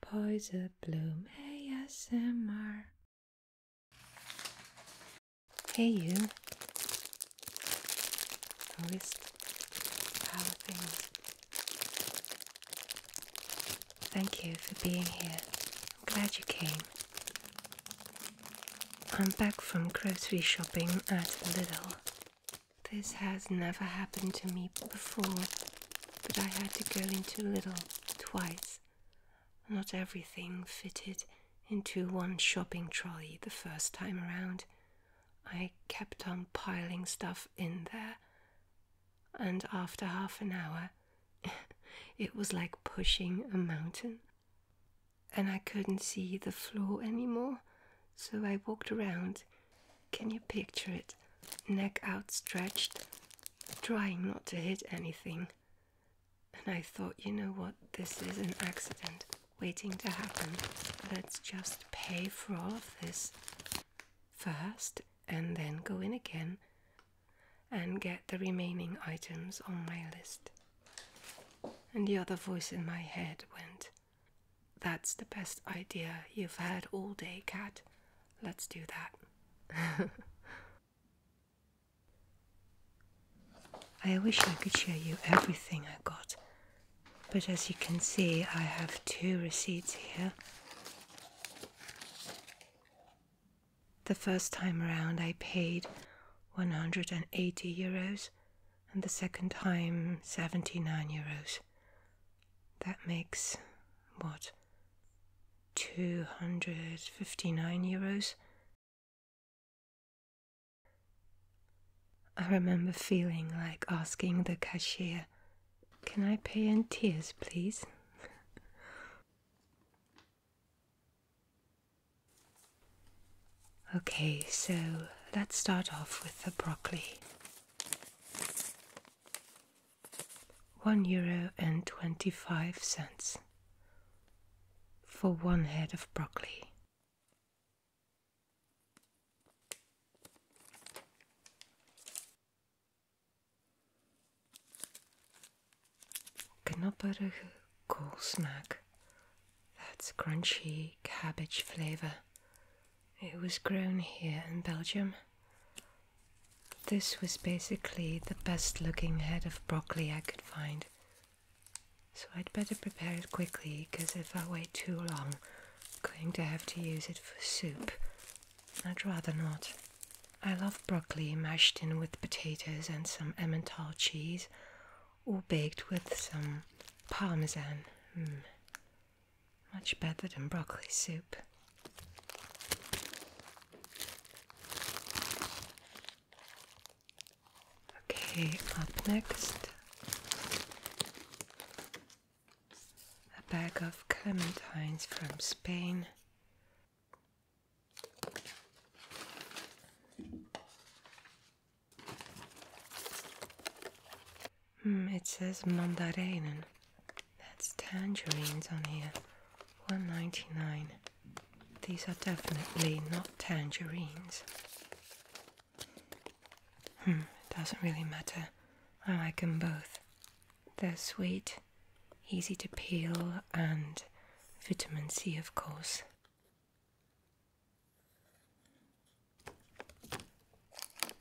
Poison Bloom ASMR. Hey, you. Notice how things. Thank you for being here. I'm glad you came. I'm back from grocery shopping at Lidl. This has never happened to me before, but I had to go into little twice. Not everything fitted into one shopping trolley the first time around. I kept on piling stuff in there, and after half an hour, it was like pushing a mountain. And I couldn't see the floor anymore, so I walked around can you picture it? Neck outstretched, trying not to hit anything. And I thought, you know what, this is an accident waiting to happen. Let's just pay for all of this first and then go in again and get the remaining items on my list. And the other voice in my head went, that's the best idea you've had all day, Cat. Let's do that. I wish I could show you everything I got, but as you can see, I have two receipts here. The first time around, I paid 180 euros, and the second time, 79 euros. That makes what? 259 euros? I remember feeling like asking the cashier, Can I pay in tears, please? okay, so let's start off with the broccoli one euro and twenty five cents for one head of broccoli. Knappere cool That's crunchy cabbage flavor it was grown here in Belgium. This was basically the best looking head of broccoli I could find. So I'd better prepare it quickly, because if I wait too long, I'm going to have to use it for soup. I'd rather not. I love broccoli mashed in with potatoes and some Emmental cheese, or baked with some parmesan. Mm. Much better than broccoli soup. Okay, up next a bag of clementines from Spain. Hmm, it says mandarinen. That's tangerines on here. One ninety nine. These are definitely not tangerines. Hmm, doesn't really matter. I like them both. They're sweet, easy to peel, and vitamin C, of course.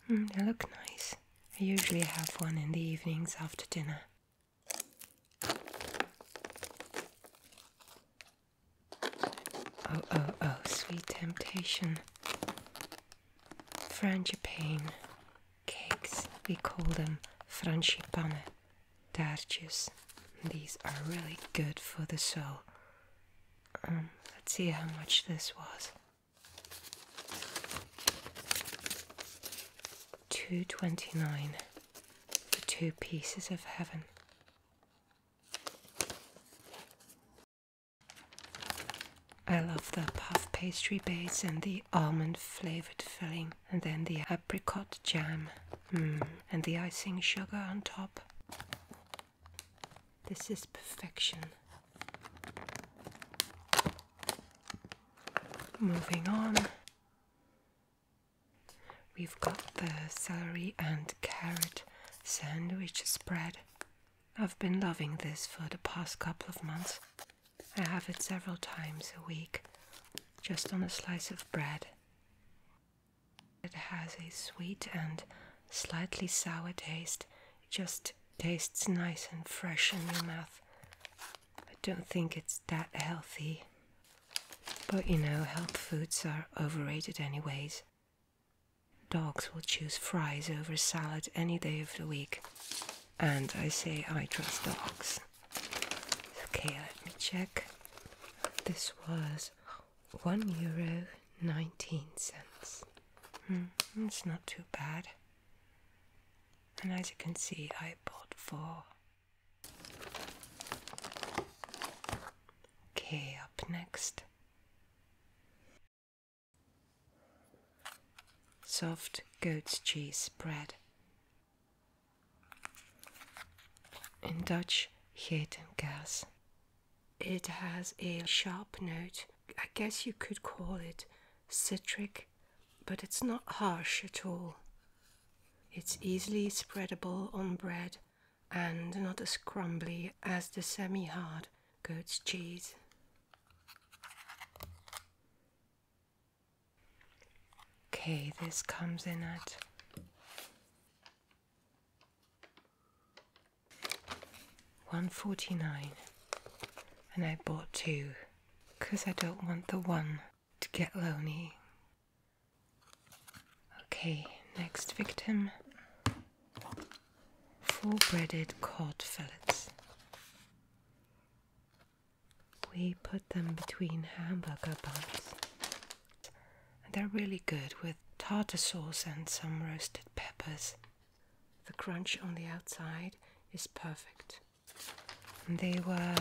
Hmm, they look nice. I usually have one in the evenings after dinner. Oh, oh, oh, sweet temptation. Frangipane cakes, we call them frangipane, darcius. These are really good for the soul. Um, let's see how much this was. Two twenty nine The two pieces of heaven. I love the puff pastry base and the almond flavored filling, and then the apricot jam, mm, and the icing sugar on top. This is perfection. Moving on, we've got the celery and carrot sandwich spread. I've been loving this for the past couple of months. I have it several times a week, just on a slice of bread. It has a sweet and slightly sour taste just tastes nice and fresh in your mouth. I don't think it's that healthy. But you know, health foods are overrated, anyways. Dogs will choose fries over salad any day of the week. And I say I trust dogs. Okay, let me check. This was one euro nineteen cents. Hmm, it's not too bad. And as you can see, I bought four. Okay, up next. Soft goat's cheese bread. In Dutch, en Gas. It has a sharp note. I guess you could call it citric, but it's not harsh at all. It's easily spreadable on bread and not as crumbly as the semi hard goat's cheese. Okay, this comes in at 149 and I bought two because I don't want the one to get lonely. Okay, next victim. Full breaded cod fillets. We put them between hamburger buns. They're really good with tartar sauce and some roasted peppers. The crunch on the outside is perfect. they were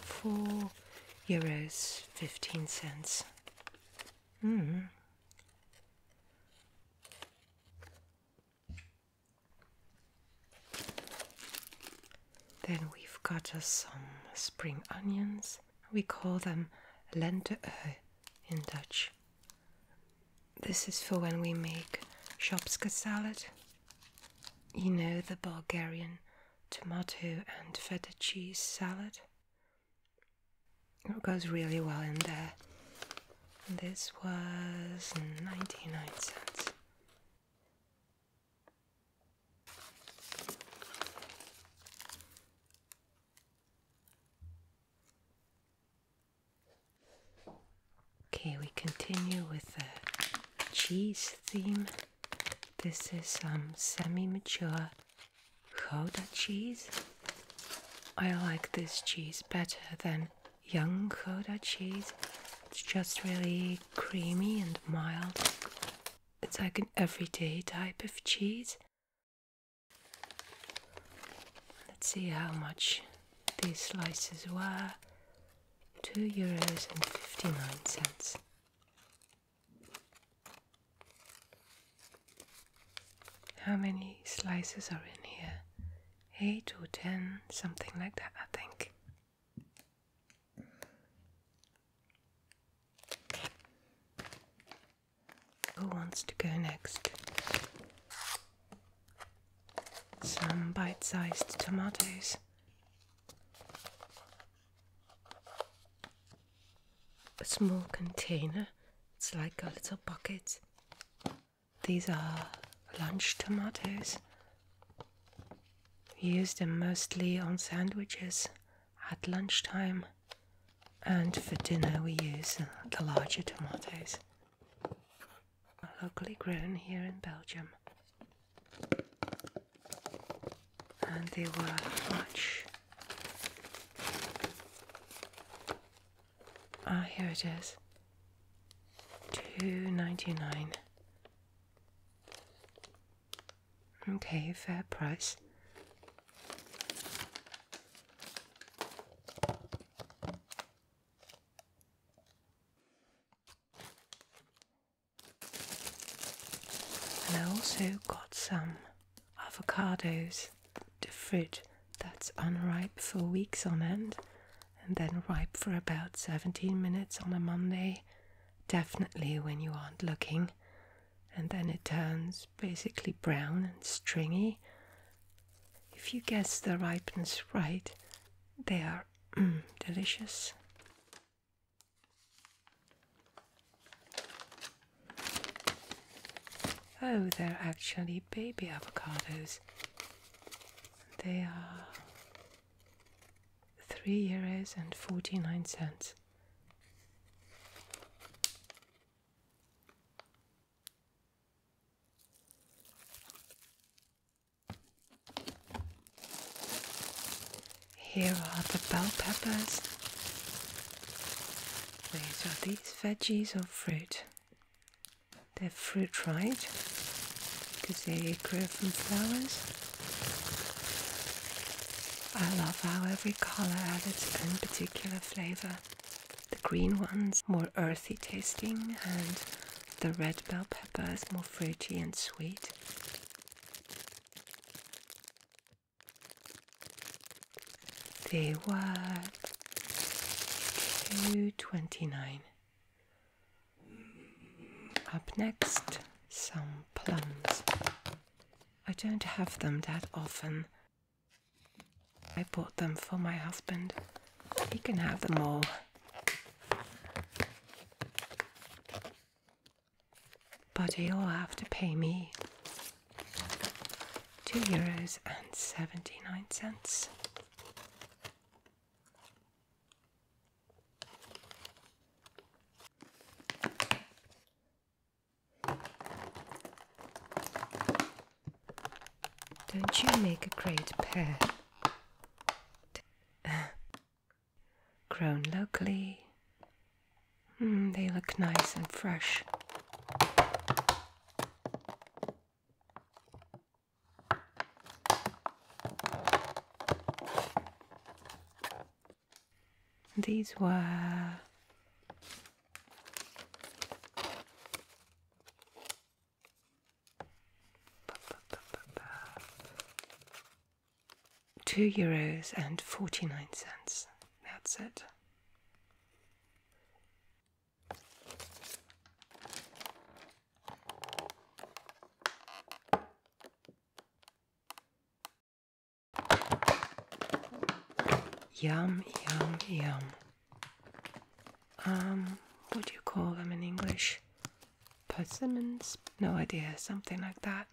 four euros fifteen cents. Mm. Then we've got some spring onions. We call them lente in Dutch. This is for when we make shopska salad. You know the Bulgarian tomato and feta cheese salad? It goes really well in there. this was 99 cents. Okay, we continue with the cheese theme. This is some um, semi-mature Gouda cheese. I like this cheese better than young Gouda cheese. It's just really creamy and mild. It's like an everyday type of cheese. Let's see how much these slices were. Two euros and fifty nine cents. How many slices are in here? Eight or ten, something like that, I think. Who wants to go next? Some bite sized tomatoes. A small container, it's like a little bucket. These are lunch tomatoes. We use them mostly on sandwiches at lunchtime and for dinner we use uh, the larger tomatoes, locally grown here in Belgium. And they were much. Ah, here it is. Two ninety nine. Okay, fair price. And I also got some avocados, the fruit that's unripe for weeks on end and then ripe for about 17 minutes on a Monday, definitely when you aren't looking. And then it turns basically brown and stringy, if you guess the ripeness right, they are mm, delicious. Oh, they're actually baby avocados. They are three euros and forty nine cents. Here are the bell peppers. These are these veggies or fruit. They're fruit, right? Because they grow from flowers. I love how every colour has its own particular flavour. The green one's more earthy tasting, and the red bell peppers, more fruity and sweet. They were two twenty-nine. Up next, some plums. I don't have them that often, I bought them for my husband. He can have them all. But he'll have to pay me two euros and seventy nine cents. Don't you make a great pair? Grown locally. Hmm, they look nice and fresh. These were Two euros and forty nine cents. That's it. Yum, yum, yum. Um, what do you call them in English? Persimmons? No idea, something like that.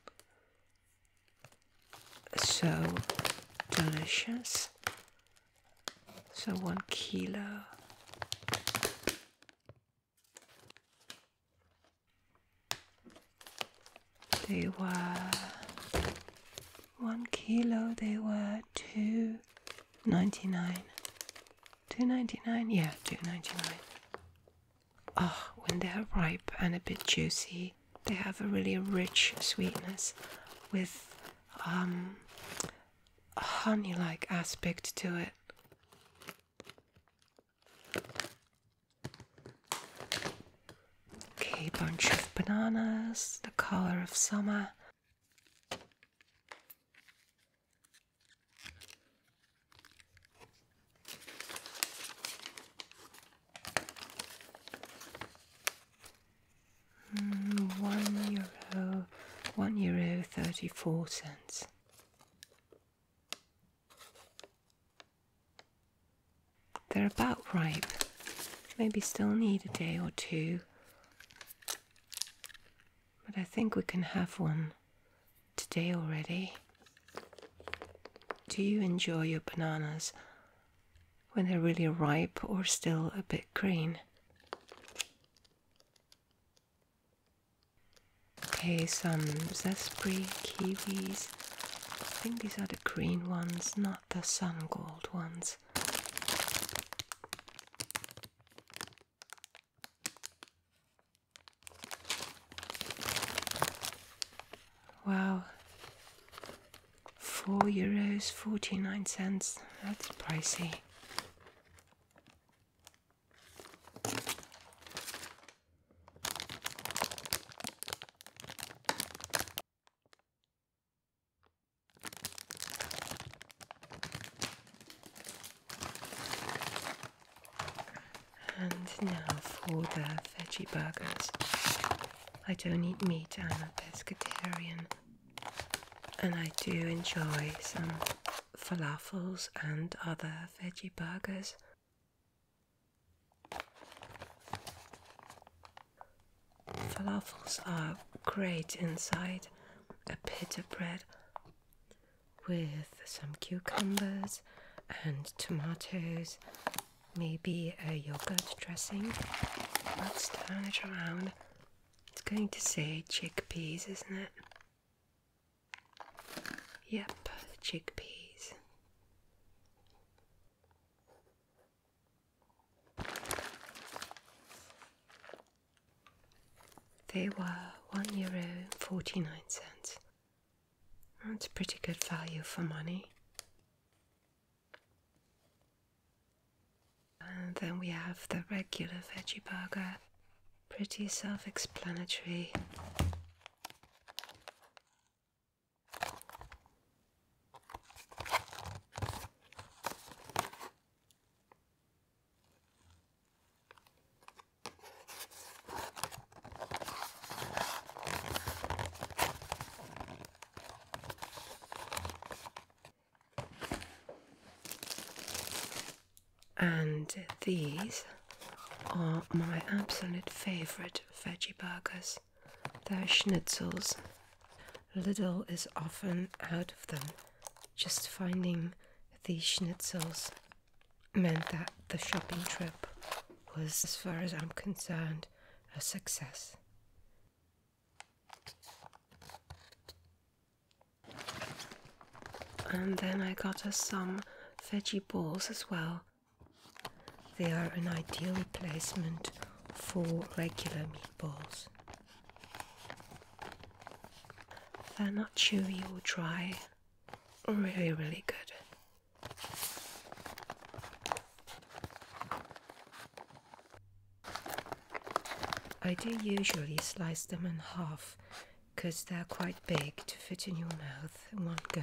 So delicious. So one kilo. They were one kilo they were two ninety nine. Two ninety nine, yeah, two ninety nine. Oh, ah, when they are ripe and a bit juicy, they have a really rich sweetness with um, a honey like aspect to it. Okay, bunch of bananas, the color of summer. Hmm, one euro, one euro thirty four cents. They're about ripe. Maybe still need a day or two. But I think we can have one today already. Do you enjoy your bananas when they're really ripe or still a bit green? Okay, some zespri kiwis. I think these are the green ones, not the sun gold ones. Wow. Four euros forty nine cents. That's pricey. And now for the veggie burgers. I don't eat meat, I'm a pescatarian. And I do enjoy some falafels and other veggie burgers. Falafels are great inside a pita bread with some cucumbers and tomatoes, maybe a yogurt dressing. Let's turn it around. It's going to say chickpeas, isn't it? Yep, chickpeas. They were one euro forty nine cents. That's pretty good value for money. And then we have the regular veggie burger. Pretty self explanatory. And these are my absolute favourite veggie burgers. The schnitzels. Lidl is often out of them. Just finding these schnitzels meant that the shopping trip was, as far as I'm concerned, a success. And then I got us some veggie balls as well they are an ideal replacement for regular meatballs. They're not chewy or dry, really, really good. I do usually slice them in half because they're quite big to fit in your mouth in one go.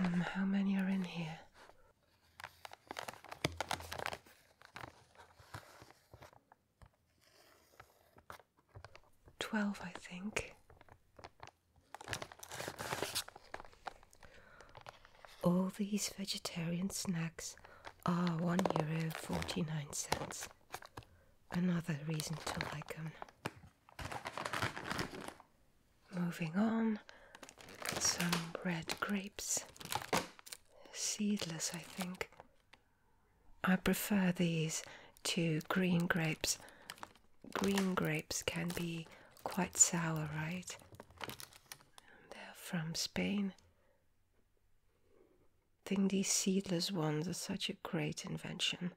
Um, how many are in here? Twelve, I think. All these vegetarian snacks are one euro forty nine cents. Another reason to like them. Moving on, some red grapes. Seedless, I think. I prefer these to green grapes. Green grapes can be quite sour, right? They're from Spain. I think these seedless ones are such a great invention.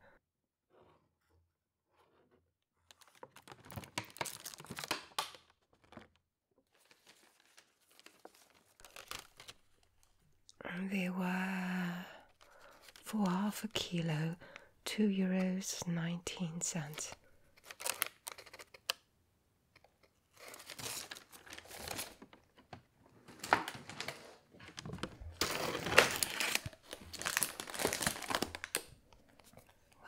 They were for half a kilo, two euros nineteen cents.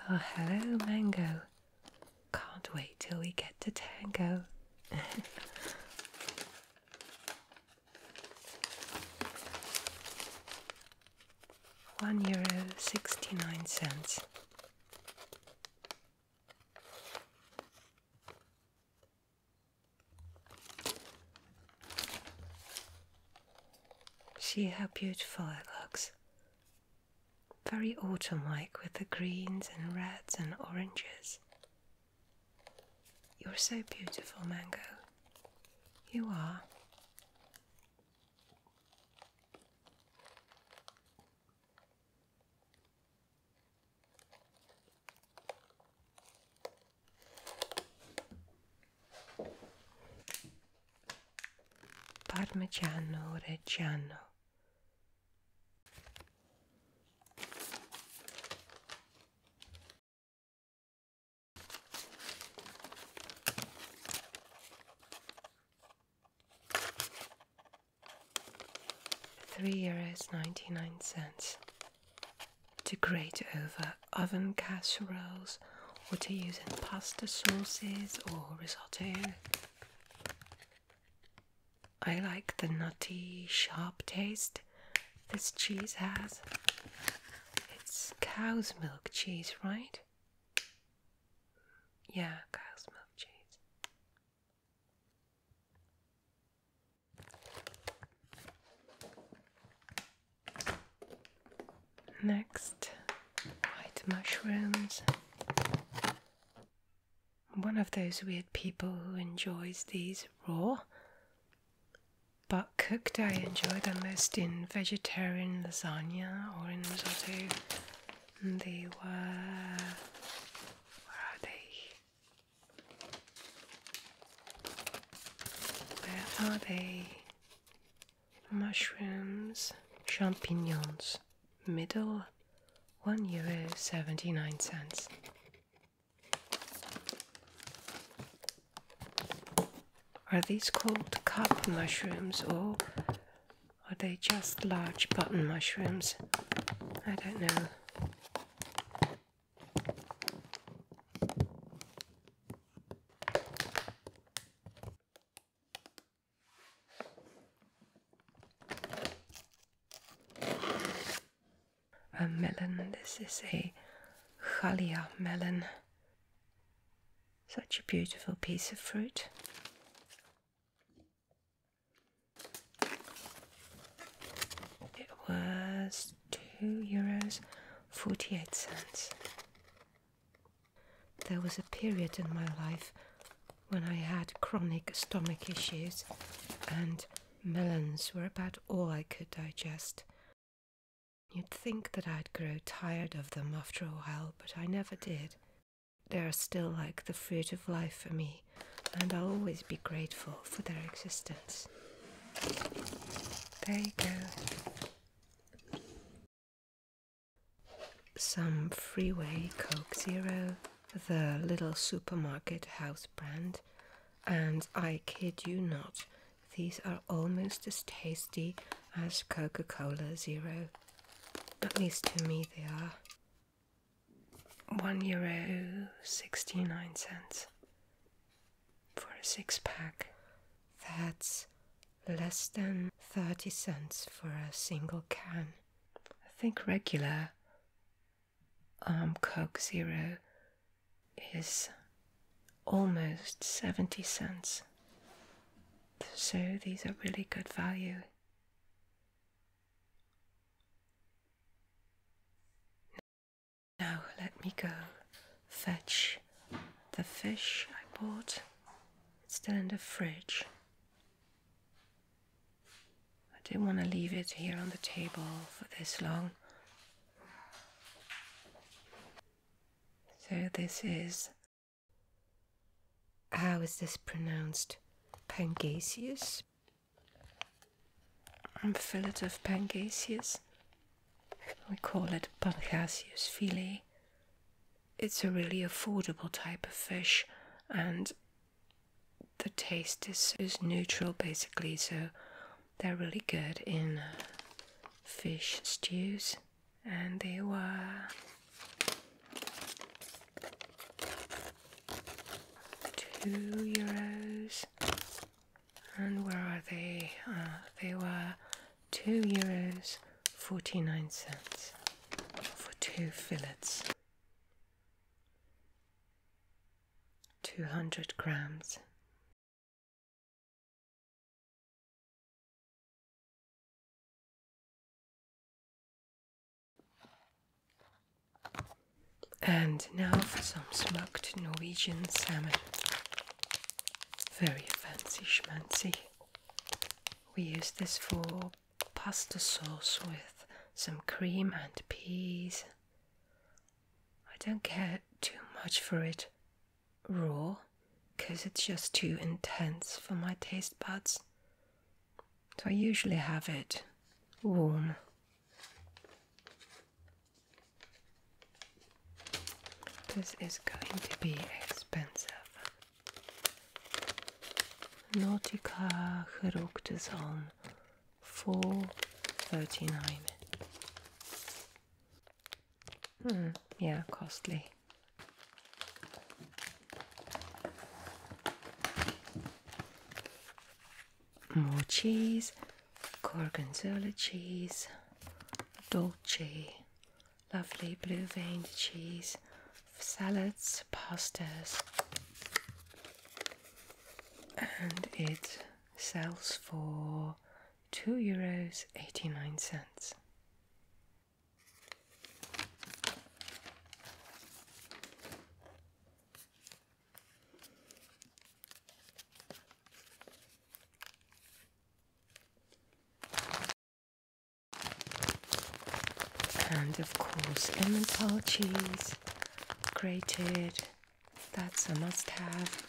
Well, hello, Mango. Can't wait till we get to Tango. One euro sixty nine cents. See how beautiful it looks. Very autumn like with the greens and reds and oranges. You're so beautiful, Mango. You are. Parmigiano Reggiano. Three euros ninety nine cents to grate over oven casseroles or to use in pasta sauces or risotto. I like the nutty, sharp taste this cheese has. It's cow's milk cheese, right? Yeah, cow's milk cheese. Next, white mushrooms. I'm one of those weird people who enjoys these raw, but cooked I enjoy them most in vegetarian lasagna or in risotto. they were. Where are they? Where are they? Mushrooms, champignons, middle, one euro seventy nine cents. Are these called cup mushrooms or are they just large button mushrooms? I don't know. A melon, this is a Chalia melon. Such a beautiful piece of fruit. It was two euros forty eight cents. There was a period in my life when I had chronic stomach issues, and melons were about all I could digest. You'd think that I'd grow tired of them after a while, but I never did. They are still like the fruit of life for me, and I'll always be grateful for their existence. There you go. Some Freeway Coke Zero, the Little Supermarket House brand, and I kid you not, these are almost as tasty as Coca Cola Zero. At least to me they are. One euro sixty nine cents for a six pack. That's less than 30 cents for a single can. I think regular um, Zero is almost 70 cents. So these are really good value. Now let me go fetch the fish I bought. It's still in the fridge. I didn't want to leave it here on the table for this long. So this is how is this pronounced? Pangasius? A fillet of Pangasius we call it Pangasius fili. It's a really affordable type of fish and the taste is, is neutral basically, so they're really good in uh, fish stews. And they were two euros and where are they? Uh, they were two euros forty nine cents for two fillets, two hundred grams. And now for some smoked Norwegian salmon very fancy schmancy. We use this for pasta sauce with some cream and peas. I don't care too much for it raw because it's just too intense for my taste buds. So I usually have it warm. This is going to be expensive. Nautica Geruchtezon 439. Hmm, yeah, costly. More cheese gorgonzola cheese, dolce, lovely blue veined cheese, salads, pastas, and it sells for two euros eighty nine cents. And of course, lemon tall cheese, grated, that's a must have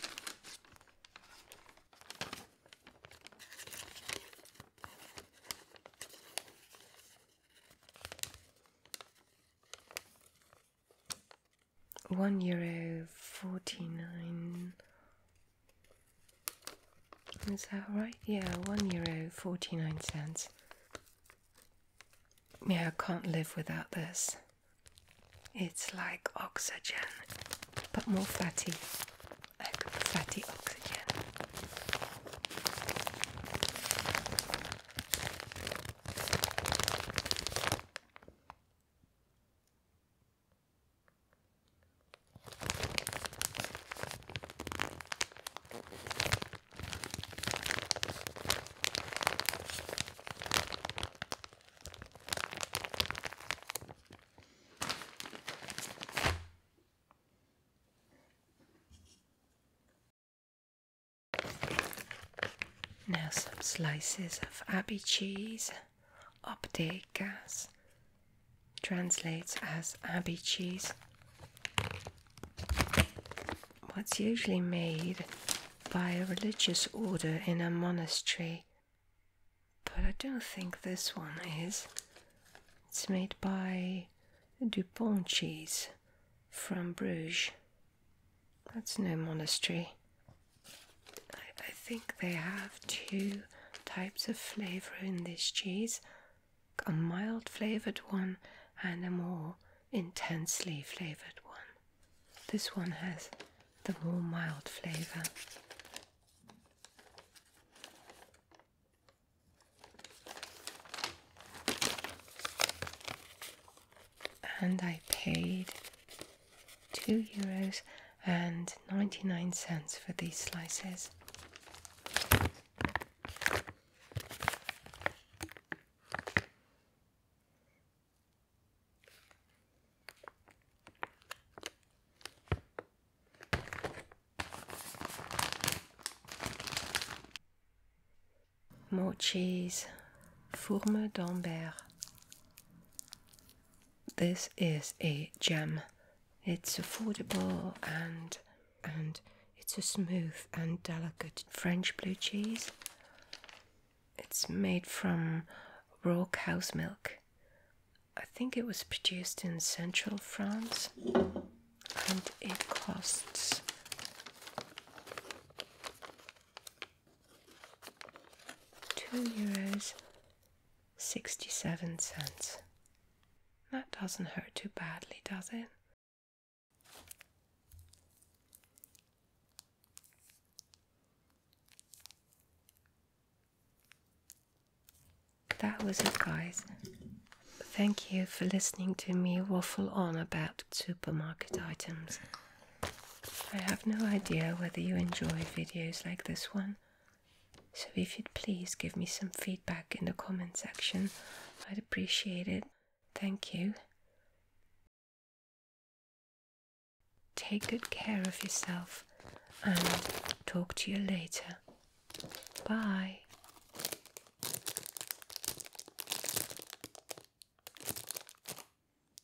one euro forty nine. Is that right? Yeah, one euro forty nine cents. Yeah, I can't live without this. It's like oxygen, but more fatty. Like fatty oxygen. Now some slices of abbey cheese. Optic gas translates as abbey cheese. What's usually made by a religious order in a monastery, but I don't think this one is. It's made by Dupont cheese from Bruges. That's no monastery. I, think they have two types of flavor in this cheese a mild flavored one and a more intensely flavored one. This one has the more mild flavor. And I paid two euros and 99 cents for these slices. More cheese, fourme d'Ambert, this is a gem. It's affordable and and it's a smooth and delicate French blue cheese. It's made from raw cow's milk. I think it was produced in central France and it costs Two euros sixty seven cents. That doesn't hurt too badly, does it? That was it, guys. Thank you for listening to me waffle on about supermarket items. I have no idea whether you enjoy videos like this one, so if you'd please give me some feedback in the comment section, I'd appreciate it. Thank you. Take good care of yourself and talk to you later. Bye.